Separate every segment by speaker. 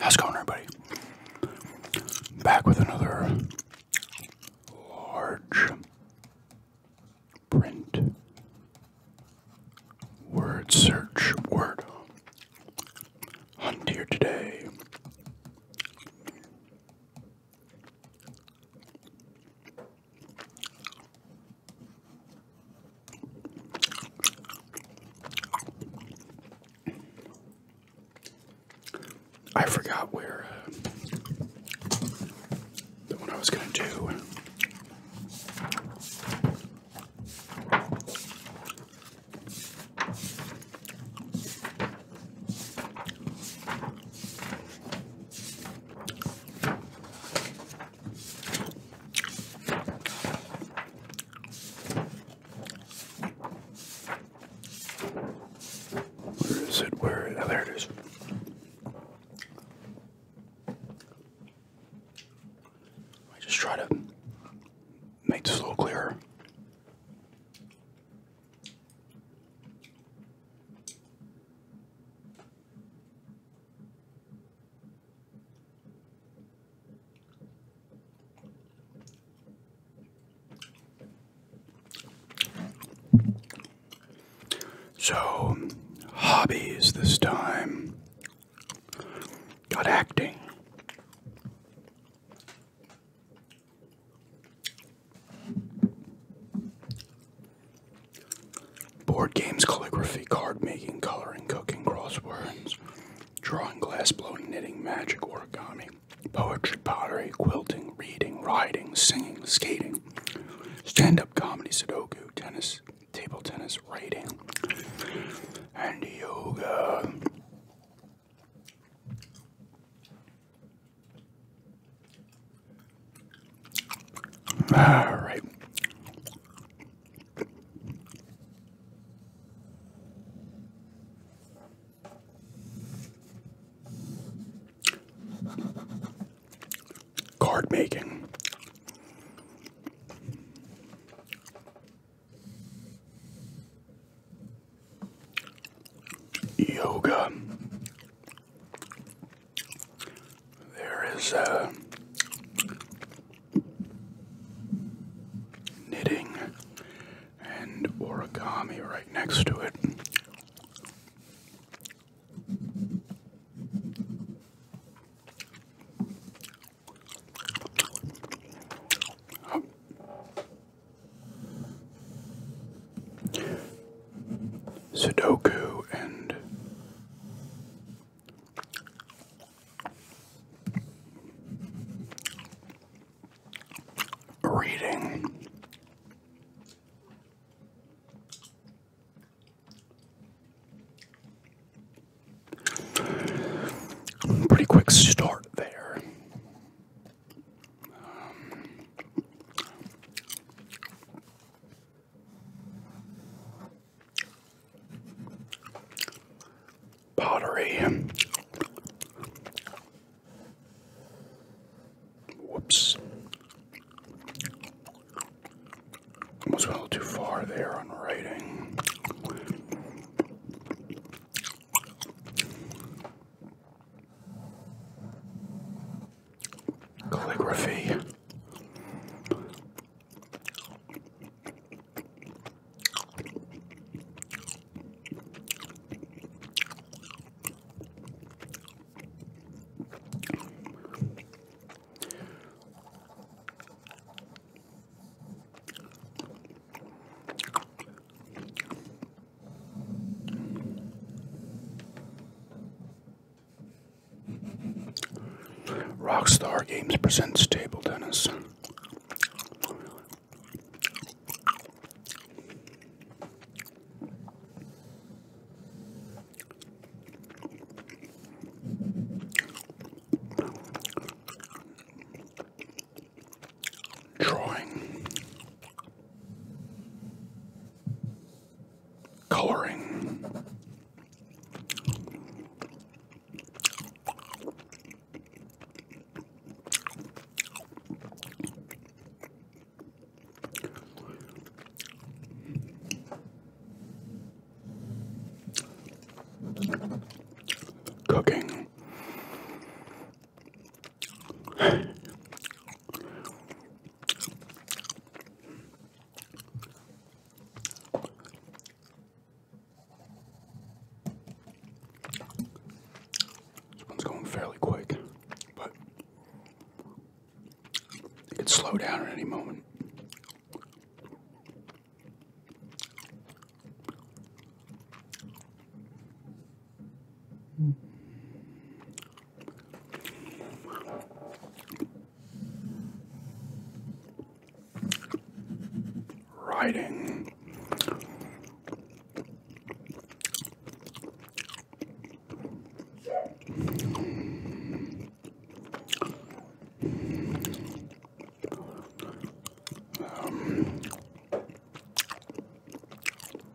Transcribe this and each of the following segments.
Speaker 1: How's it going, everybody? Back with another large print word search word hunt here today. I forgot where uh, the one I was going to do. Where is it? Where? Oh, there it is. I just try to make this a little clearer. So, hobbies this time. Got acting. Board games, calligraphy, card making, coloring, cooking, crosswords, drawing, glass blowing, knitting, magic, origami, poetry, pottery, quilting, reading, riding, singing, skating, stand up comedy, sudoku, tennis, table tennis, writing, and yoga. All right. Card making. Yoga. There is a uh, knitting and origami right next to it. Oh. Sudoku and reading. Pretty quick start there. Pottery. Whoops. Almost went a little too far there on writing calligraphy. Rockstar Games presents Table Tennis. Drawing coloring. Cooking this one's going fairly quick, but it could slow down at any moment. Riding. Um,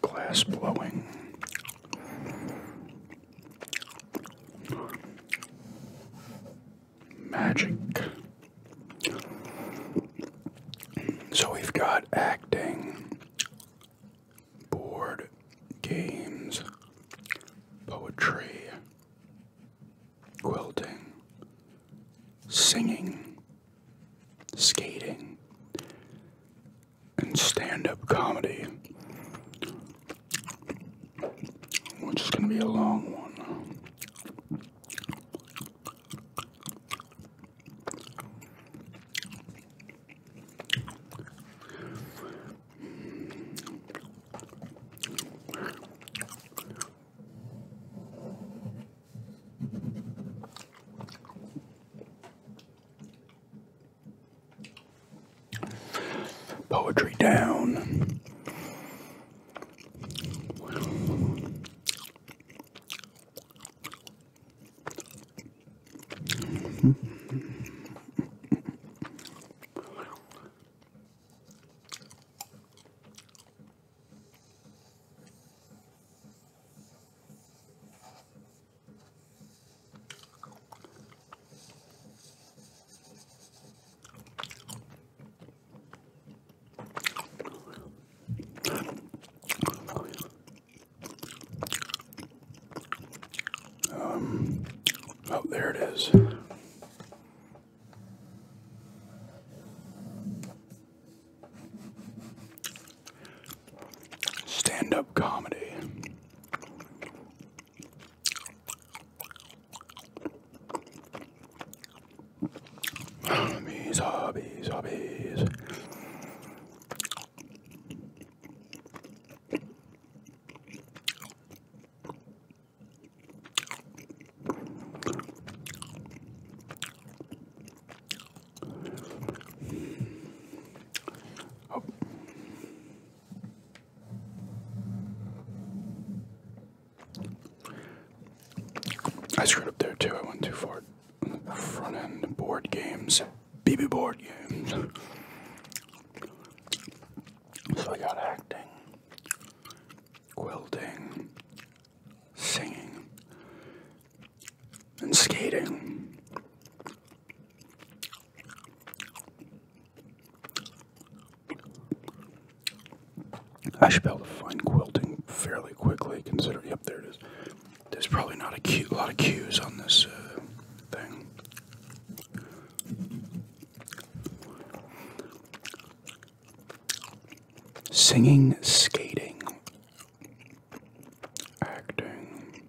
Speaker 1: glass blowing. Magic. So we've got acting, board games, poetry, quilting, singing, skating, and stand up comedy, which is going to be a long one. Poetry down. Um, oh, there it is. Stand up comedy. Hobbies, hobbies, hobbies. I screwed up there too. I went too far. Front end board games, BB board games. So I got acting, quilting, singing, and skating. I should be able to find quilting fairly quickly, considering. Yep, there it is. There's probably not a cute lot of cues on this uh, thing. Singing, skating, acting.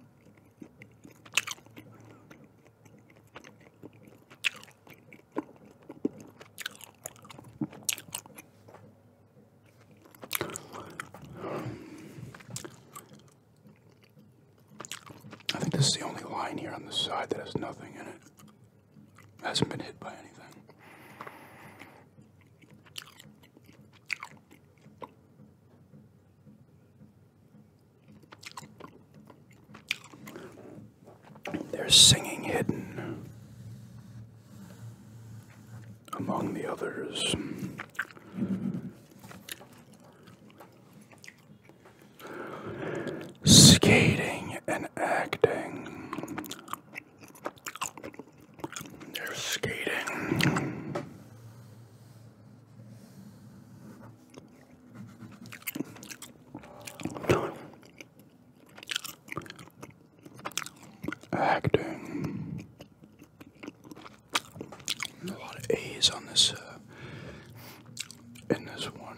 Speaker 1: I think this is the only line here on the side that has nothing in it. Hasn't been hit by anything. There's singing hidden among the others. Skating and acting. They're skating. Acting. A lot of A's on this, uh, in this one.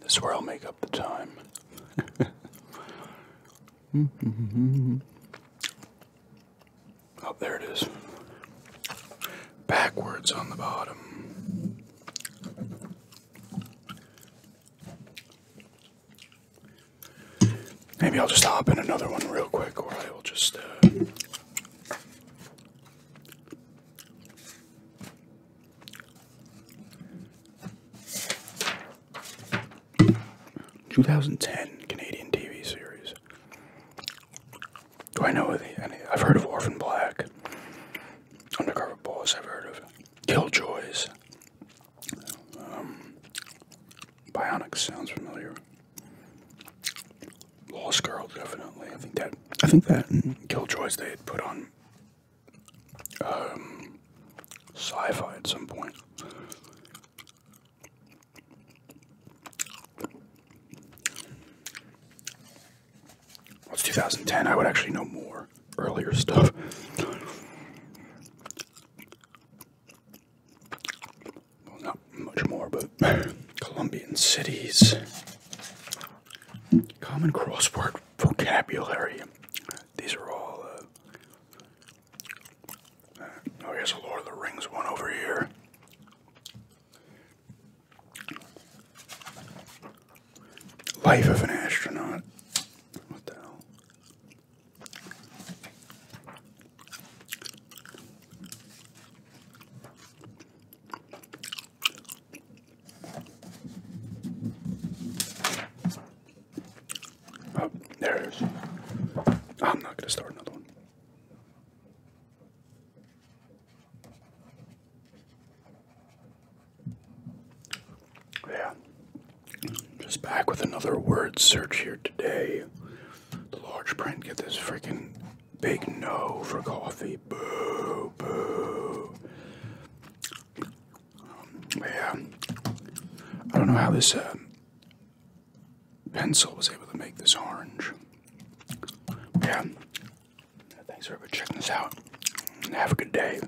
Speaker 1: This is where I'll make up the time. oh, there it is. Backwards on the bottom. Maybe I'll just hop in another one real quick, or I will just. Uh, two thousand ten Canadian TV series. Do I know any? I've heard of Orphan Black, Undercover Boss. I've heard of Killjoys. Um, Bionic sounds familiar. Lost Girl, definitely. I think that. I think that Killjoys they had put on um, sci-fi at some point. Well, it's 2010. I would actually know more earlier stuff not much more, but Colombian cities. Common crossword vocabulary. These are all. Uh, uh, oh, here's a Lord of the Rings one over here. Life of an astronaut. What the hell? Oh, there it is. I'm not going to start another one. Yeah, just back with another word search here today. The large print, get this freaking big no for coffee. Boo, boo. yeah. I don't know how this uh, pencil was able to make this orange. Yeah. Thanks for checking this out. Have a good day.